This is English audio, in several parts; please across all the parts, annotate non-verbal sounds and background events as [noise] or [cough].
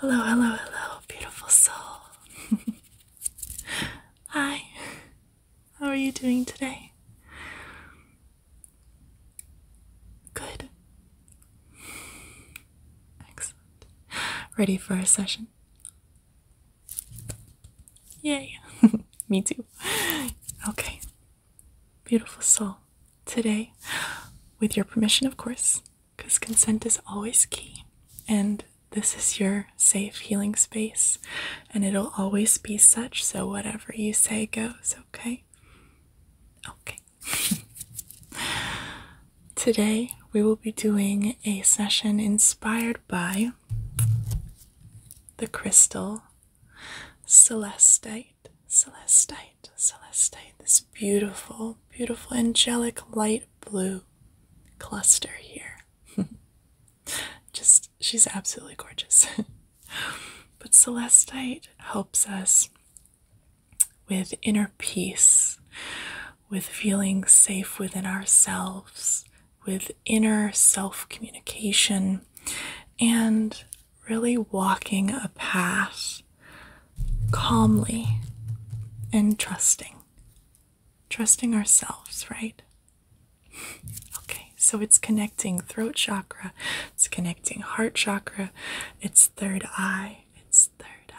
Hello, hello, hello, beautiful soul. [laughs] Hi. How are you doing today? Good. Excellent. Ready for a session? Yay. [laughs] Me too. Okay. Beautiful soul. Today, with your permission, of course, because consent is always key, and this is your safe healing space, and it'll always be such, so whatever you say goes, okay? Okay. [laughs] Today, we will be doing a session inspired by the crystal celestite, celestite, celestite, this beautiful, beautiful angelic light blue cluster here. [laughs] Just, she's absolutely gorgeous. [laughs] but Celestite helps us with inner peace, with feeling safe within ourselves, with inner self communication, and really walking a path calmly and trusting. Trusting ourselves, right? Okay, so it's connecting throat chakra, it's connecting heart chakra, it's third eye, it's third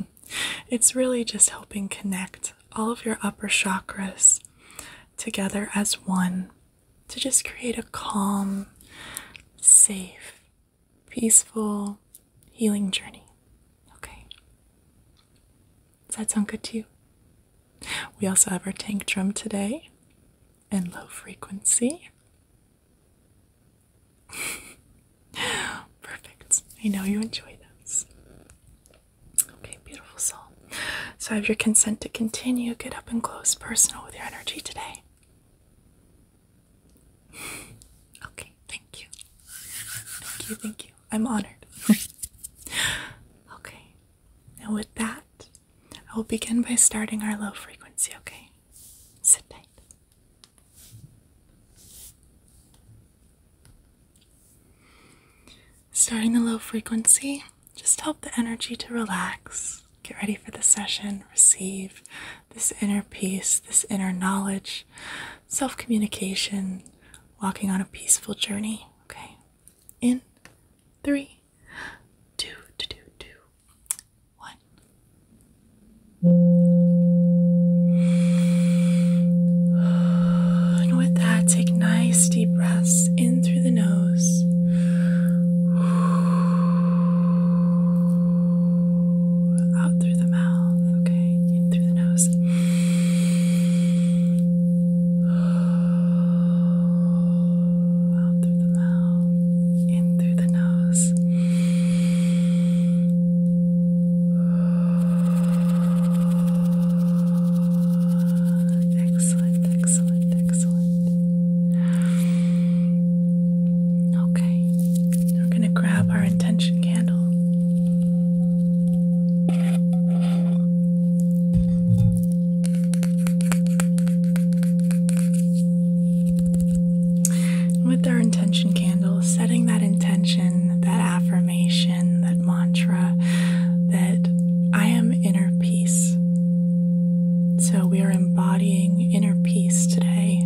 eye. [laughs] it's really just helping connect all of your upper chakras together as one to just create a calm, safe, peaceful, healing journey. Okay. Does that sound good to you? We also have our tank drum today and low frequency. [laughs] Perfect. I know you enjoy those. Okay, beautiful soul. So I have your consent to continue. Get up and close personal with your energy today. [laughs] Okay, thank you. Thank you, thank you. I'm honored. [laughs] okay, and with that, I will begin by starting our low frequency, okay? Sit tight. Starting the low frequency, just help the energy to relax. Get ready for the session. Receive this inner peace, this inner knowledge, self communication, walking on a peaceful journey, okay? in three, two, two, two, two, one. And with that, take nice deep breaths in through the nose. Out through the mouth, okay, in through the nose. Out through the mouth, in through the nose. Excellent, excellent, excellent. Okay, we're going to grab our intention candle. With our intention candle, setting that intention, that affirmation, that mantra that I am inner peace. So we are embodying inner peace today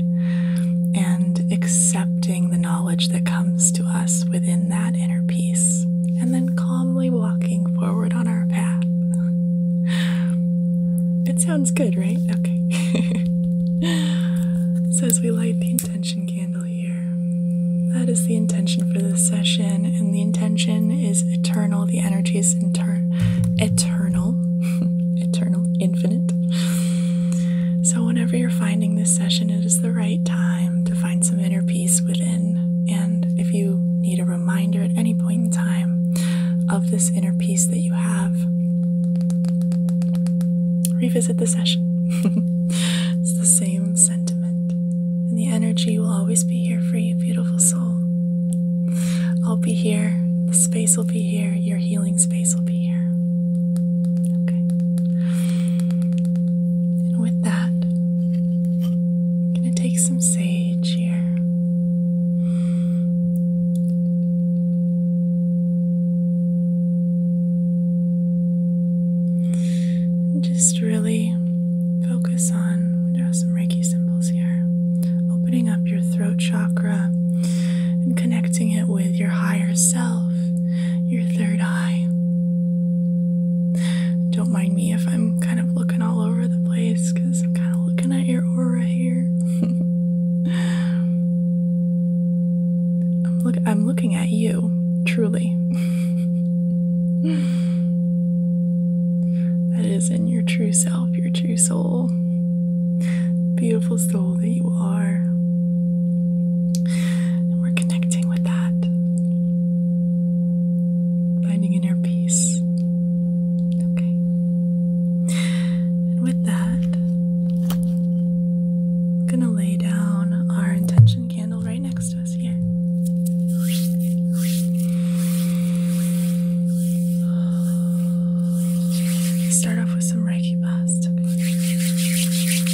and accepting the knowledge that comes to us within that inner peace and then calmly walking forward on our path. It sounds good, right? Okay. [laughs] so, as we light the intention candle here, that is the intention for this session, and the intention is eternal. The energy is eternal, [laughs] eternal, infinite. So, whenever you're finding this session, it is the right time to find some inner peace within. And if you need a reminder at any point in time of this inner peace that you have, revisit the session. [laughs] it's the same sentiment. And the energy will always be here for you, beautiful soul. I'll be here. The space will be here. Your healing space will be here. Okay. And with that, gonna take some sage here. just really focus on, Draw some Reiki symbols here, opening up your throat chakra and connecting it with your higher self, your third eye. Don't mind me if I'm I'm kind of looking all over the place because I'm kind of looking at your aura here. [laughs] I'm look I'm looking at you, truly. [laughs] that is in your true self, your true soul. Beautiful soul that you are. And we're connected with that, finding inner peace. Okay. And with that, I'm going to lay down our intention candle right next to us here. Start off with some Reiki bust.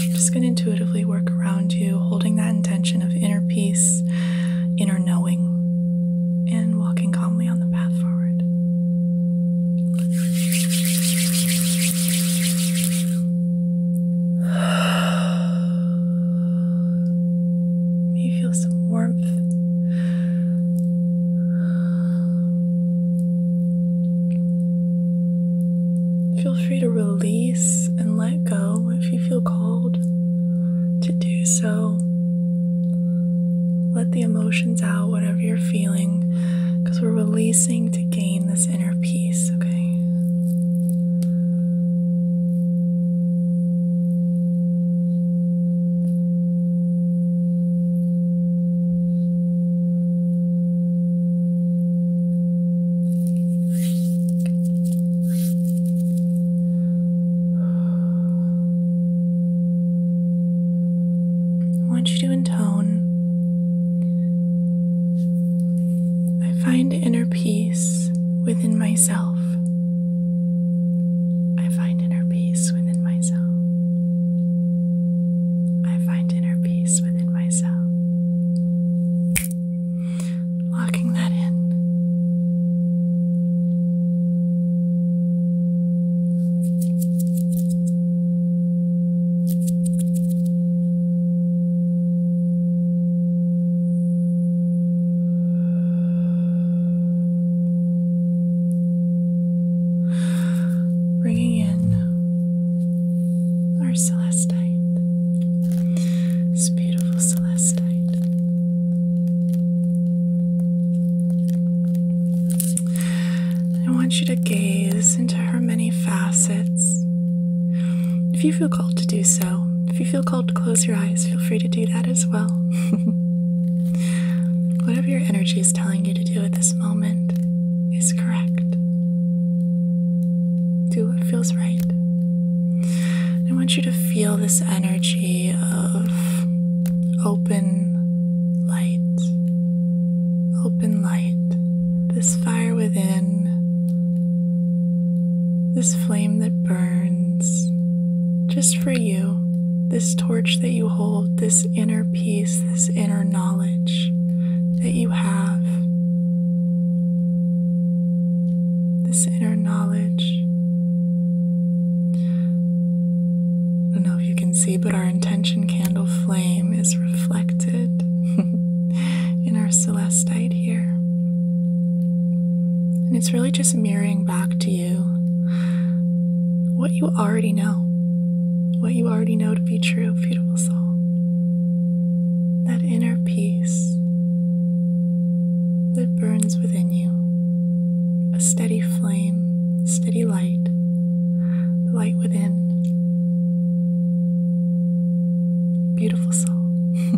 i just going to intuitively work around you, holding that intention of inner peace inner knowing and walking calmly on the path forward. [sighs] You feel some warmth. Feel free to release and let go if you feel called to do so. Let the emotions out, whatever you're feeling, because we're releasing to gain this inner peace, okay? I want you to intone. I find inner peace within myself. I find inner peace within myself. I find inner peace within myself locking that in. Bringing in our celestite. This beautiful celestite. I want you to gaze into her many facets. If you feel called to do so, if you feel called to close your eyes, feel free to do that as well. [laughs] Whatever your energy is telling you to do at this moment is correct. Do what feels right. I want you to feel this energy of open light, open light, this fire within, this flame that burns just for you, this torch that you hold, this inner peace, this inner knowledge that you have this inner knowledge. I don't know if you can see, but our intention candle flame is reflected [laughs] in our celestite here. And it's really just mirroring back to you what you already know, what you already know to be true, beautiful soul. That inner peace that burns within you, a steady flame, steady light, the light within. Beautiful soul. [laughs]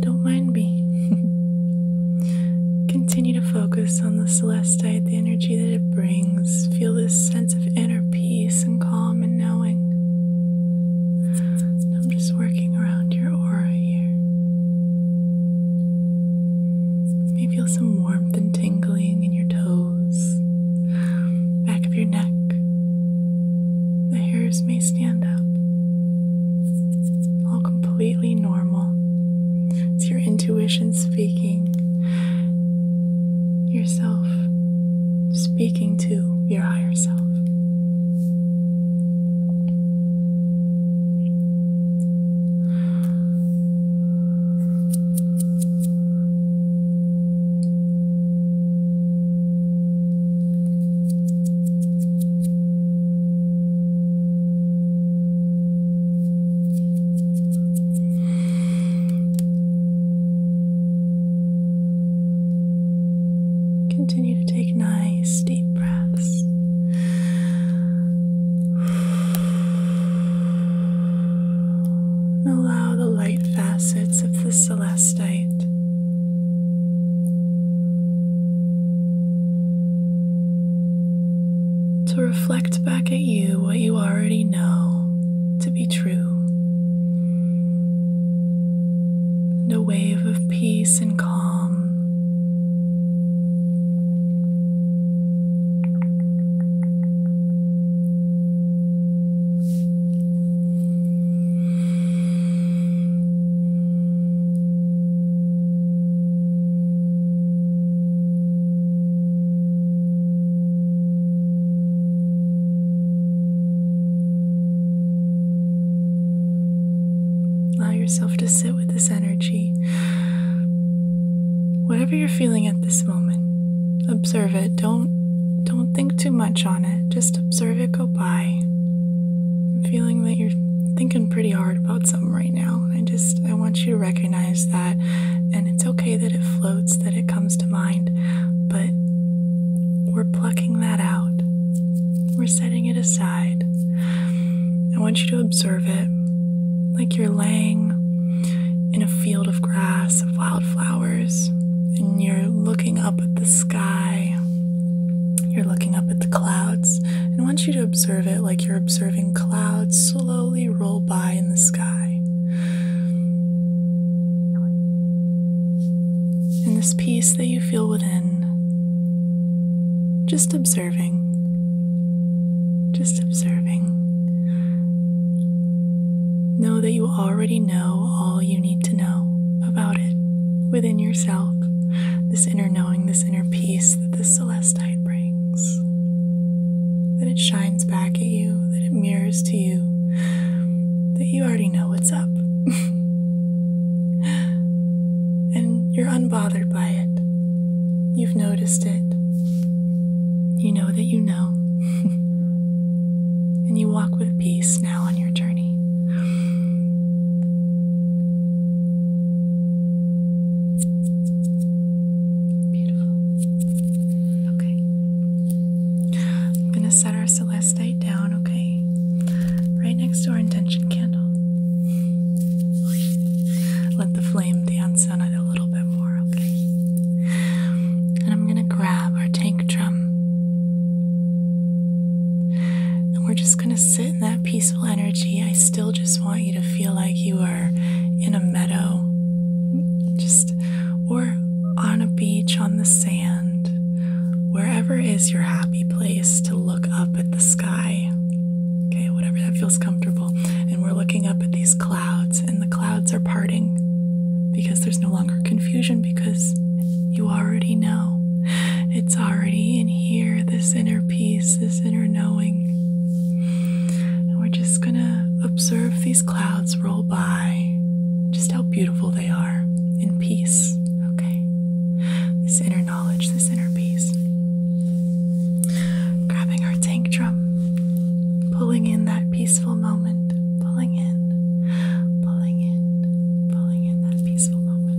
Don't mind me. [laughs] Continue to focus on the celestite, the energy that it brings. Feel this sense of inner peace and calm and knowing. I'm just working around your aura here. may feel some warmth and tingling in your toes, back of your neck. The hairs may stand up all completely normal. It's your intuition speaking, yourself speaking to your higher self. Continue to take nice deep breaths. allow the light facets of the celestite to reflect back at you what you already know to be true. And a wave of peace and calm. Allow yourself to sit with this energy. Whatever you're feeling at this moment, observe it. Don't don't think too much on it. Just observe it go by. I'm feeling that you're thinking pretty hard about something right now. I just I want you to recognize that and it's okay that it floats, that it comes to mind, but we're plucking that out. We're setting it aside. I want you to observe it like you're laying in a field of grass, of wildflowers, and you're looking up at the sky you're looking up at the clouds, and want you to observe it like you're observing clouds slowly roll by in the sky. In this peace that you feel within, just observing, just observing. Know that you already know all you need to know about it within yourself. This inner knowing, this inner peace that the celestite brings. That it shines back at you, that it mirrors to you, that you already know what's up. [laughs] and you're unbothered by it. You've noticed it. You know that you know. [laughs] and you walk with peace now on your journey journey. Beautiful. Okay. I'm going to set our celestite down, okay? Right next to our intention candle. Let the flame dance on it a little bit more, okay? And I'm going to grab our tank drum. And we're just going to sit in that peaceful energy. I still just want you to feel like you are in a meadow, just or on a beach on the sand, wherever is your happy place to look up at the sky. Okay, whatever that feels comfortable. And we're looking up at these clouds, and the clouds are parting because there's no longer confusion because you already know. It's already in here, this inner peace, this inner knowing. And we're just gonna observe these clouds roll by, just how beautiful they are in peace, okay? This inner knowledge, this inner peace. Grabbing our tank drum, pulling in that peaceful moment, pulling in, pulling in, pulling in that peaceful moment.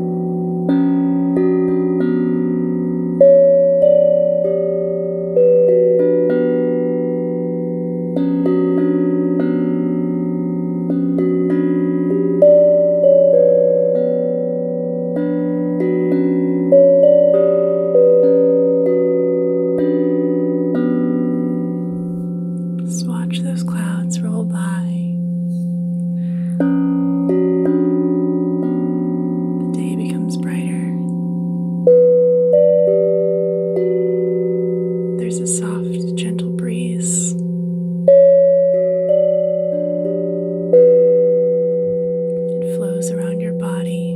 Just watch those clouds roll by. The day becomes brighter. There's a soft, gentle breeze. It flows around your body,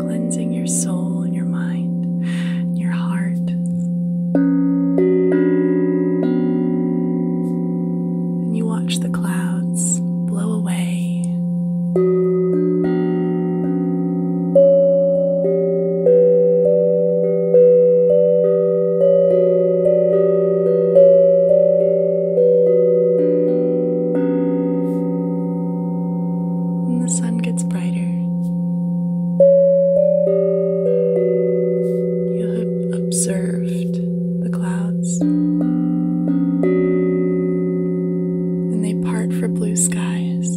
cleansing your soul and your mind, your heart. And you watch the clouds blow away. And the sun gets brighter. You have observed the clouds, and they part for blue skies.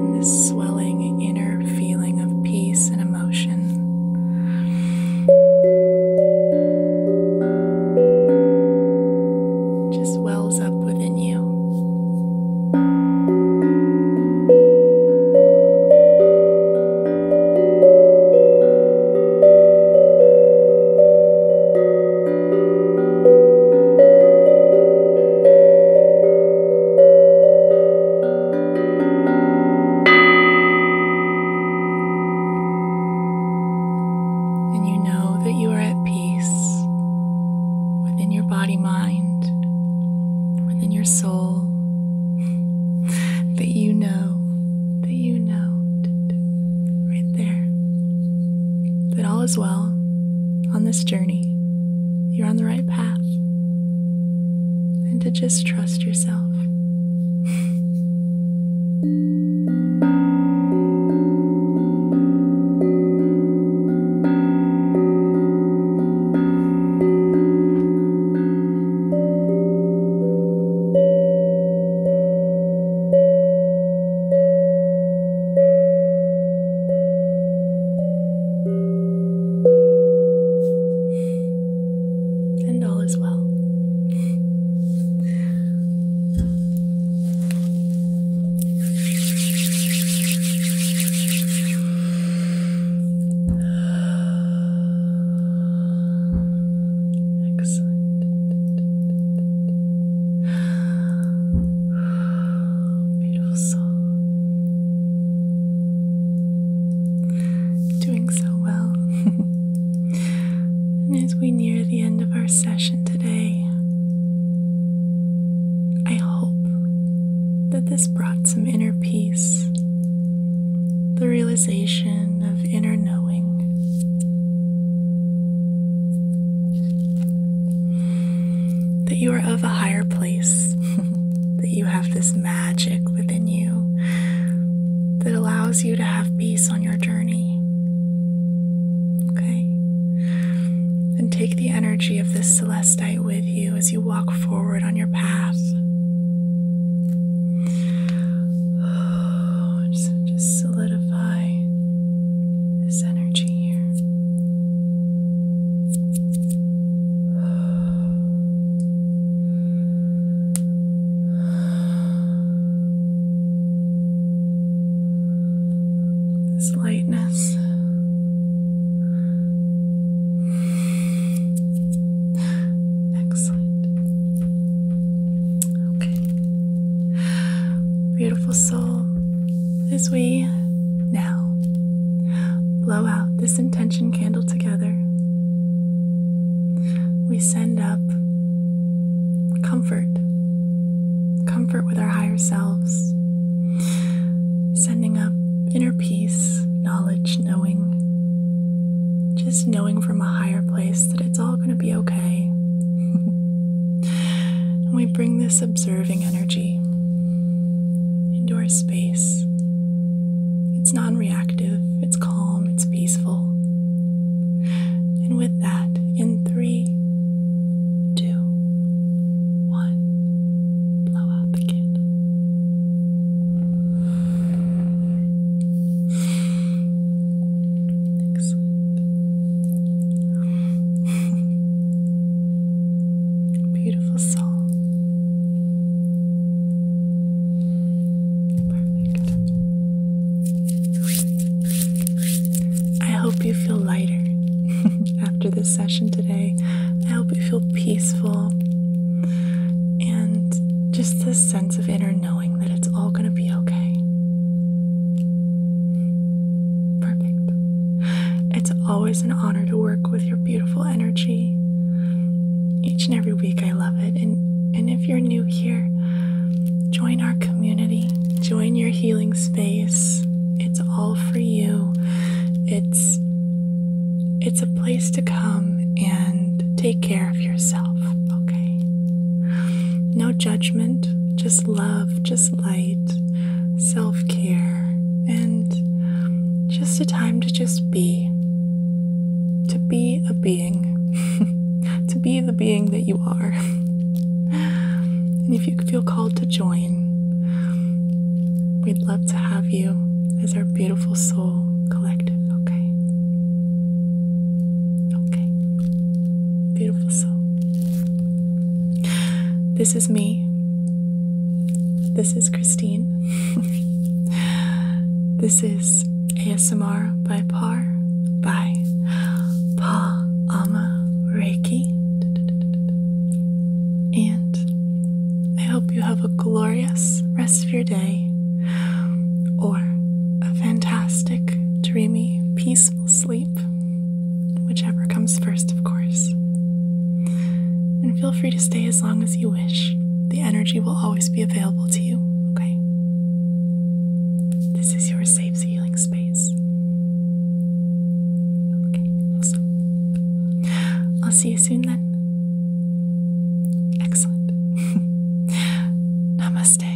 And this swelling inner feeling of peace and emotion. Just wells up within you. And you know that you are at peace peace within your body mind, within your soul, [laughs] that you know, that you know, right there, that all is well on this journey. You're on the right path. And to just trust yourself. [laughs] And all is well. Excellent. Beautiful soul. Doing so well. [laughs] and as we near the end of our session today, I hope that this brought some inner peace, the realization of inner knowing. That you are of a higher place, [laughs] that you have this magic within you that allows you to have peace on your journey. Okay? And take the energy of this celestite with you as you walk forward on your path. [sighs] just solidify this energy here. [sighs] This lightness Excellent. Okay. Beautiful soul, as we now blow out this intention candle together, we send up comfort, comfort with our higher selves. Sending up inner peace, knowledge, knowing, just knowing from a higher place that it's all going to be okay. and [laughs] we bring this observing energy into our space. It's non reactive, it's calm, it's peaceful. And with that, in three, two, one. Blow out the candle. Excellent. Beautiful song. Perfect. I hope you feel lighter. [laughs] after this session today. I hope you feel peaceful and just this sense of inner knowing that it's all going to be okay. Perfect. It's always an honor to work with your beautiful energy. Each and every week, I love it. And, and if you're new here, join our community, join your healing space. It's all for you. It's it's a place to come and take care of yourself, okay? No judgment, just love, just light, self-care, and just a time to just be. To be a being. [laughs] to be the being that you are. [laughs] And if you feel called to join, we'd love to have you as our beautiful soul collective, okay? Okay. Beautiful soul. This is me. This is Christine. [laughs] this is ASMR by Par by Paul ama reiki and i hope you have a glorious rest of your day or a fantastic dreamy peaceful sleep whichever comes first of course and feel free to stay as long as you wish the energy will always be available to you okay this is your safe zone space. Okay, awesome. I'll see you soon then. Excellent. [laughs] Namaste.